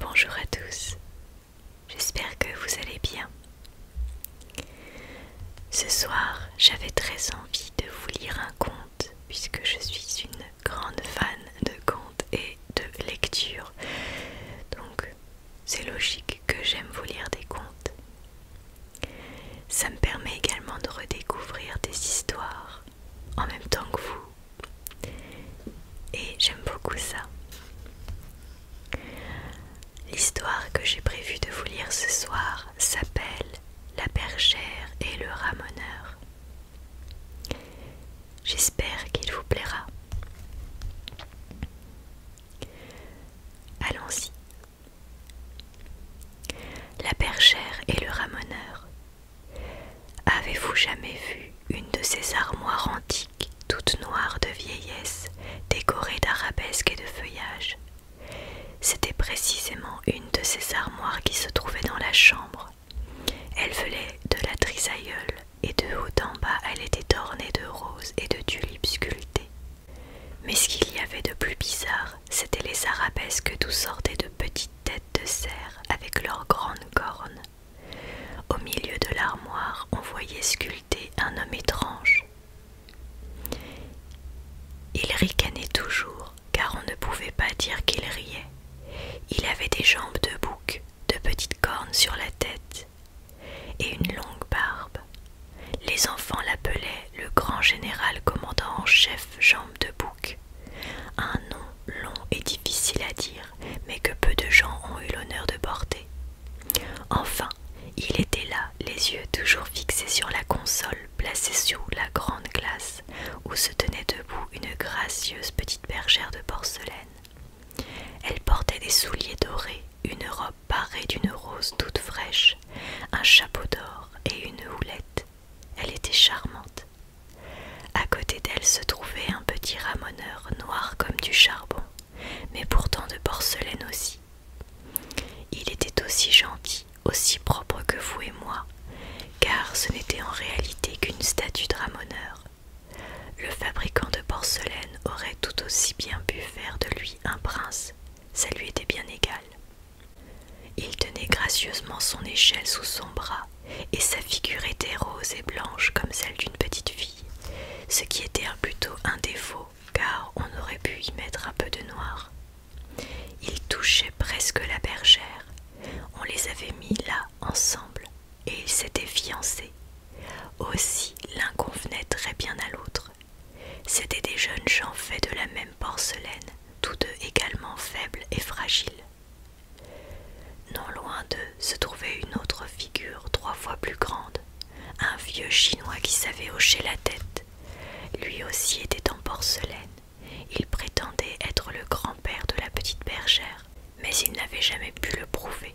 Bonjour à tous, j'espère que vous allez bien. Ce soir, j'avais très envie de vous lire un conte, puisque je suis une grande fan de contes et de lecture. Donc, c'est logique que j'aime vous lire des contes. Ça me permet également de redécouvrir des histoires en même temps que vous et j'aime beaucoup ça. L'histoire que j'ai prévu de vous lire ce soir s'appelle La bergère et le ramoneur. J'espère qu'il vous plaira. Allons-y. La bergère et le ramoneur. Avez-vous jamais vu une de ces armoires antiques, toutes noires de vieillesse, décorées d'arabesques et de feuillages C'était précisément une de ces armoires qui se trouvait dans la chambre. Elle venait de la trisailleule, et de haut en bas elle était ornée de roses et de tulipes sculptées. Mais ce qu'il y avait de plus bizarre, c'était les arabesques d'où sortaient de petites têtes de cerf avec leurs grandes cornes. Au milieu de l'armoire, on voyait sculpter un homme étrange. Il ricanait toujours, car on ne pouvait pas dire qu'il riait. Il avait des jambes de bouc, de petites cornes sur la tête et une longue barbe. Les enfants l'appelaient le grand général commandant en chef jambes de bouc. Un nom long et difficile à dire, mais que peu de gens ont eu l'honneur de porter. Enfin, il était là, les yeux toujours fixés sur la console placée sous la grande glace, où se tenait debout une gracieuse petite bergère de porcelaine. Elle portait des souliers dorés, une robe parée d'une rose toute fraîche, un chapeau d'or et une houlette. Elle était charmante. À côté d'elle se trouvait un petit ramoneur noir comme du charbon, mais pourtant de porcelaine aussi. Il était aussi gentil, aussi propre que vous et moi, car ce n'était en réalité qu'une statue de ramoneur. Le fabricant de porcelaine aurait tout aussi bien pu faire de lui un prince, ça lui était bien égal. Il tenait gracieusement son échelle sous son bras et sa figure était rose et blanche comme celle d'une petite fille, ce qui était plutôt un défaut car on aurait pu y mettre un peu de noir. Ils touchaient presque la bergère, on les avait mis là ensemble et ils s'étaient fiancés. Aussi l'un convenait très bien à l'autre. C'étaient des jeunes gens faits de la même porcelaine, tous deux également faibles et fragiles. Non loin d'eux se trouvait une autre figure trois fois plus grande, un vieux chinois qui savait hocher la tête. Lui aussi était en porcelaine. Il prétendait être le grand-père de la petite bergère, mais il n'avait jamais pu le prouver.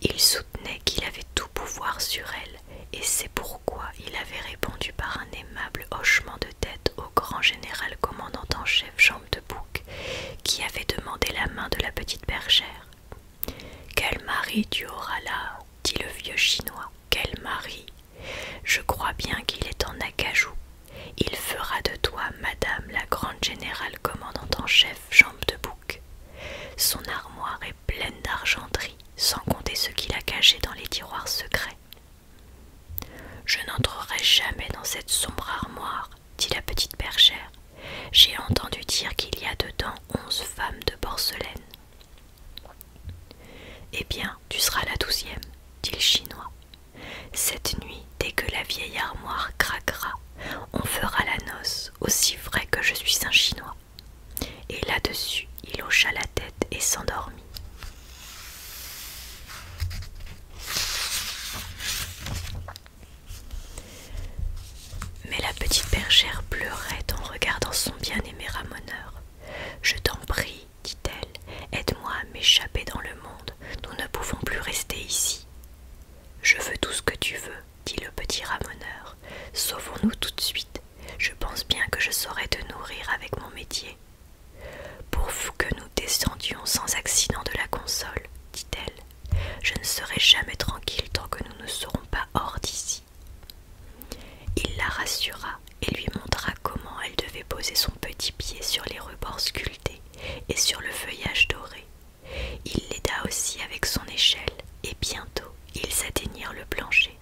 Il soutenait qu'il avait tout pouvoir sur elle, et c'est pourquoi il avait répondu par un aimable hochement de tête grand général commandant en chef Jambe de Bouc, qui avait demandé la main de la petite bergère. Quel mari tu auras là dit le vieux chinois. Quel mari Je crois bien qu'il est en acajou. Il fera de toi, madame la grande générale commandant en chef Jambe de Bouc. Son armoire est pleine d'argenterie, sans compter ce qu'il a caché dans les tiroirs secrets. Je n'entrerai jamais dans cette sombre armoire, dit la petite bergère. J'ai entendu dire qu'il y a dedans onze femmes de porcelaine. Eh bien, tu seras la douzième, dit le chinois. Cette nuit, dès que la vieille armoire craquera, on fera la noce, aussi vrai que je suis un chinois. Et là-dessus, il hocha la tête et s'endormit. Mais la petite bergère pleurait en regardant son bien-aimé ramoneur. Je t'en prie, dit-elle, aide-moi à m'échapper dans le monde. Nous ne pouvons plus rester ici. Je veux tout ce que tu veux, dit le petit ramoneur. Sauvons-nous tout de suite. Je pense bien que je saurai te nourrir avec mon métier. Pourvu que nous descendions sans accident de la console, dit-elle, je ne serai jamais tranquille tant que nous ne serons pas hors d'ici. Il la rassura et lui montra comment elle devait poser son petit pied sur les rebords sculptés et sur le feuillage doré. Il l'aida aussi avec son échelle, et bientôt ils atteignirent le plancher.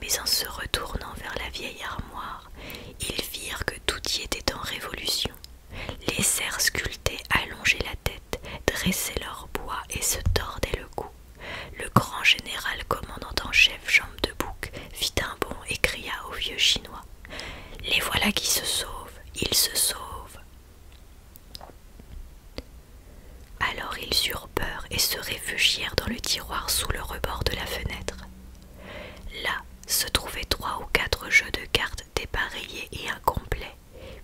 Mais en se retournant vers la vieille armoire, ils virent que tout y était en révolution, Les cerfs sculptés allongeaient la tête, dressaient leur bois et se tordaient le cou. Le grand général commandant en chef Jambe de Bouc fit un bond et cria au vieux chinois Les voilà qui se sauvent, ils se sauvent. Alors ils eurent peur et se réfugièrent dans le tiroir sous le rebord de la fenêtre. Là se trouvaient trois ou quatre jeux de cartes dépareillés et incomplets,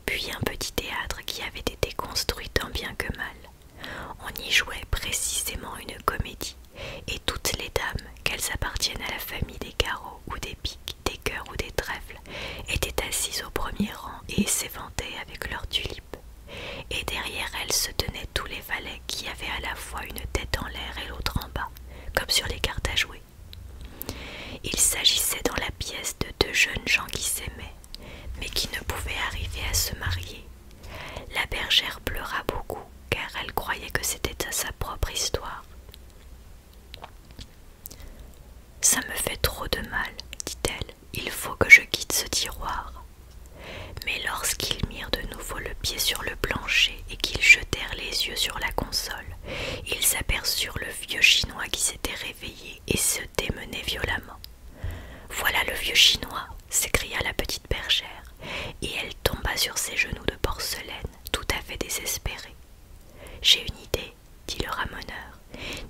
puis un petit théâtre qui avait été construit tant bien que mal. On y jouait précisément une comédie, et toutes les dames, qu'elles appartiennent à la famille des carreaux ou des piques, des cœurs ou des trèfles, étaient assises au premier rang et s'éventaient avec leurs tulipes et derrière elle se tenaient tous les valets qui avaient à la fois une tête en l'air et l'autre en bas, comme sur les cartes à jouer. Il s'agissait dans la pièce de deux jeunes gens qui s'aimaient, mais qui ne pouvaient arriver à se marier. La bergère pleura beaucoup, car elle croyait que c'était à sa propre histoire. Ça me fait trop de mal, dit-elle. Il faut que je quitte ce tiroir. Mais lorsqu'ils mirent de nouveau le pied sur le plancher et qu'ils jetèrent les yeux sur la console, ils aperçurent le vieux Chinois qui s'était réveillé et se démenait violemment. Voilà le vieux Chinois s'écria la petite bergère, et elle tomba sur ses genoux de porcelaine, tout à fait désespérée. J'ai une idée, dit le ramoneur.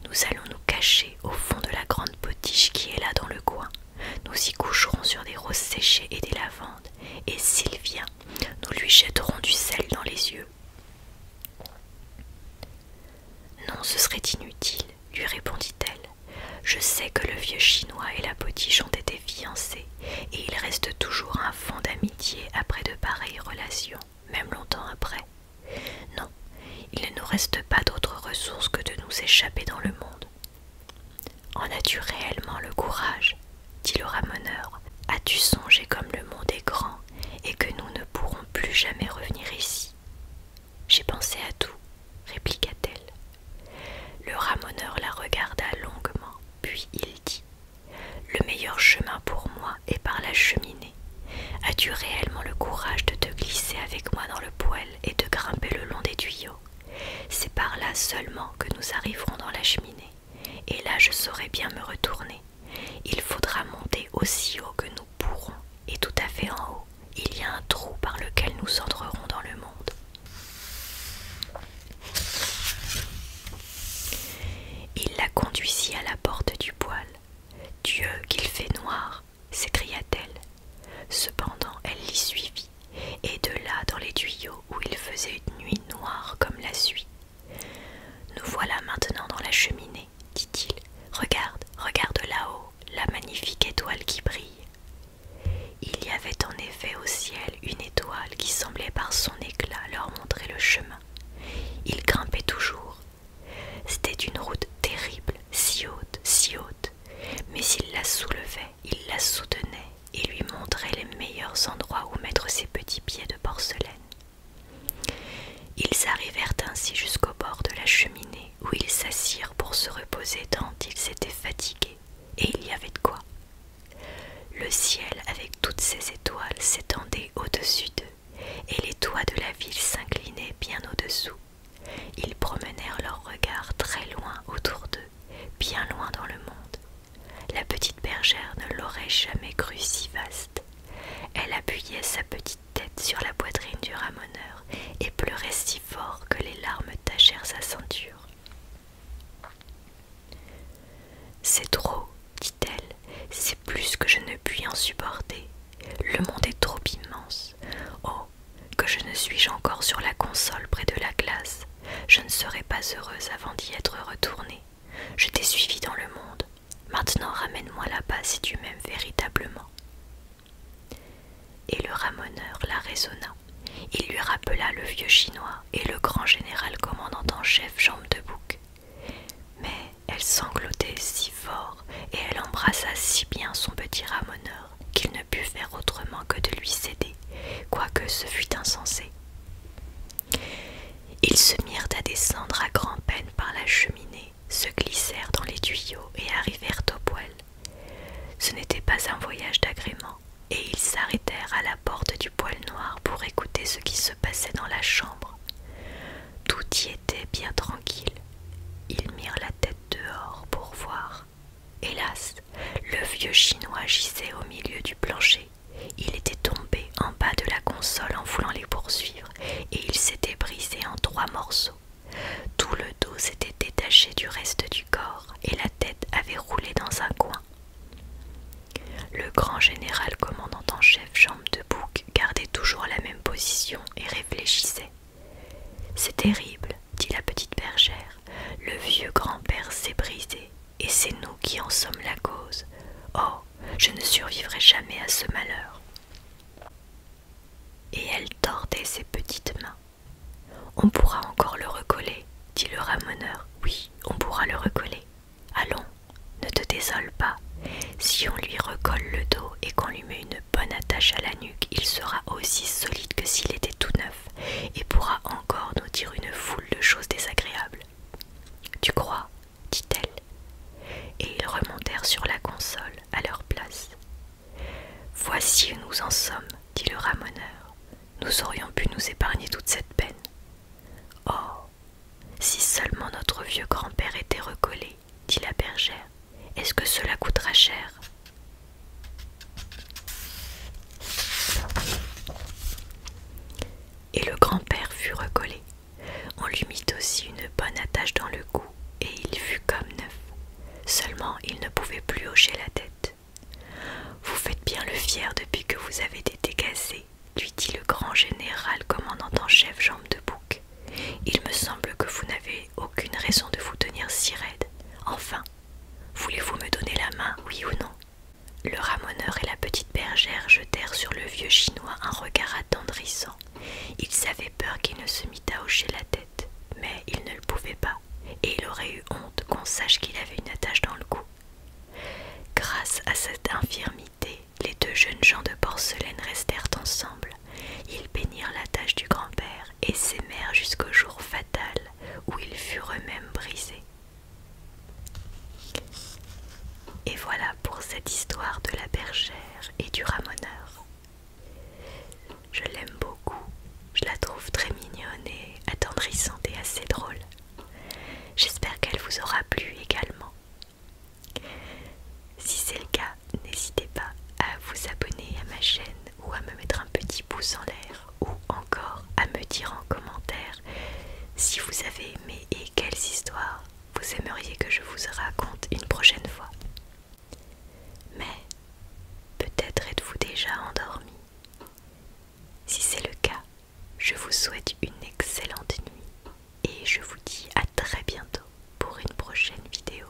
Nous allons nous cacher au fond de la grande potiche qui est là dans le coin. Nous y coucherons sur des roses séchées et des lavandes, et s'il vient, nous lui jetterons du sel dans les yeux. Non, ce serait inutile, lui répondit-elle. Je sais que le vieux chinois et la potiche ont été fiancés, et il reste toujours un fond d'amitié après de pareilles relations, même longtemps après. Non, il ne nous reste pas d'autre ressource que de nous échapper dans le monde, en as-tu réellement le courage dit le ramoneur. As-tu songé comme le monde est grand et que nous ne pourrons plus jamais revenir ici J'ai pensé à tout, répliqua-t-elle. Le ramoneur la regarda longuement, puis il dit Le meilleur chemin pour moi est par la cheminée. As-tu réellement le courage de te glisser avec moi dans le poêle et de grimper le long des tuyaux c'est par là seulement que nous arriverons dans la cheminée, et là je saurai bien me retourner. Il faudra monter aussi haut que nous pourrons, et tout à fait en haut, il y a un trou par lequel nous entrerons dans le monde. Il la conduisit à la porte du poêle. Dieu, qu'il fait noir s'écria-t-elle. Cependant, elle l'y suivit, et de là dans les tuyaux où il faisait une nuit noire comme la suie. Nous voilà maintenant dans la cheminée, dit-il. Regarde, regarde là-haut, la magnifique étoile qui brille. Il y avait en effet au ciel une étoile qui semblait par son éclat leur montrer le chemin. Il grimpait toujours. C'était une route terrible, si haute, si haute mais il la soulevait, il la soutenait et lui montrait les meilleurs endroits où mettre ses petits pieds de porcelaine. Ils arrivèrent ainsi jusqu'au bord de la cheminée où ils s'assirent pour se reposer tant ils étaient fatigués, et il y avait de quoi. Le ciel avec toutes ses étoiles s'étendait au-dessus d'eux, et les toits de la ville s'inclinaient bien au-dessous, ils promenèrent leurs regards très loin autour d'eux, bien loin dans le monde. La petite bergère ne l'aurait jamais cru si vaste. Elle appuyait sa petite tête sur la poitrine du ramoneur et pleurait si fort que les larmes tachèrent sa ceinture. C'est trop, dit-elle, c'est plus que je ne puis en supporter. Le monde est trop immense. Oh, que je ne suis-je encore sur la console près de la glace, je ne serai pas heureuse avant d'y être retournée. Je t'ai suivi dans le monde. Maintenant ramène-moi là-bas si tu m'aimes véritablement. Et le ramoneur la raisonna. Il lui rappela le vieux chinois et le grand général commandant en chef Jambe de Bouc. Mais elle sanglotait si fort et elle embrassa si bien son petit ramoneur qu'il ne put faire autrement que de lui céder, quoique ce fût insensé. Ils se mirent à descendre à grand-peine par la cheminée, se glissèrent dans les tuyaux et arrivèrent au poêle. Ce n'était pas un voyage d'agrément, et ils s'arrêtèrent à la porte du poêle noir pour écouter ce qui se passait dans la chambre. Tout y était bien tranquille. Ils mirent la tête dehors pour voir. Hélas, le vieux chinois gisait au milieu du plancher. Il était tombé en bas de la console en voulant les poursuivre, et il s'était brisé en trois morceaux. Tout le dos s'était détaché du reste du corps, et la tête avait roulé dans un coin. Le grand général commandant en chef, Jambes de bouc, gardait toujours la même position et réfléchissait. C'est terrible, dit la petite bergère. Le vieux grand-père s'est brisé, et c'est nous qui en sommes la cause. Oh, je ne survivrai jamais à ce malheur. Et elle tordait ses petites mains. On pourra encore le recoller, dit le ramoneur. Oui, on pourra le recoller. Allons, ne te désole pas. Si on lui recolle le dos et qu'on lui met une bonne attache à la nuque, il sera aussi solide que s'il était tout neuf et pourra encore nous dire une foule de choses désagréables. Tu crois dit-elle. Et ils remontèrent sur la console à leur place. Voici où nous en sommes, dit le ramoneur. Nous aurions pu nous épargner toute cette peine. Oh si seulement notre vieux grand-père était recollé, dit la bergère, est-ce que cela coûtera cher Et le grand-père fut recollé. On lui mit aussi une bonne attache dans le cou, et il fut comme neuf. Seulement il ne pouvait plus hocher la tête. Vous faites bien le fier depuis que vous avez été cassé, lui dit le grand général commandant en chef Jambe de Bouc. Il me semble que vous n'avez aucune raison de vous tenir si raide. Enfin, voulez-vous me donner la main, oui ou non Le ramoneur et la petite bergère jetèrent sur le vieux chinois un regard attendrissant. Ils avaient peur qu'il ne se mit à hocher la tête, mais il ne le pouvait pas, et il aurait eu honte qu'on sache qu'il avait une attache dans le cou. Grâce à cette infirmité, les deux jeunes gens de porcelaine restèrent ensemble. Ils bénirent la tâche du grand-père et s'aimèrent jusqu'au jour fatal où ils furent eux-mêmes brisés. Et voilà pour cette histoire de la bergère et du ramoneur. Je l'aime beaucoup, je la trouve très mignonne attendrissante et assez drôle. J'espère qu'elle vous aura plu également. Si c'est le cas, n'hésitez pas à vous abonner à ma chaîne ou à me mettre un petit pouce en l'air ou encore à me dire en commentaire si vous avez aimé et quelles histoires vous aimeriez que je vous raconte une prochaine fois. Mais peut-être êtes-vous déjà endormi. Si c'est le cas, je vous souhaite une excellente nuit et je vous dis à très bientôt pour une prochaine vidéo.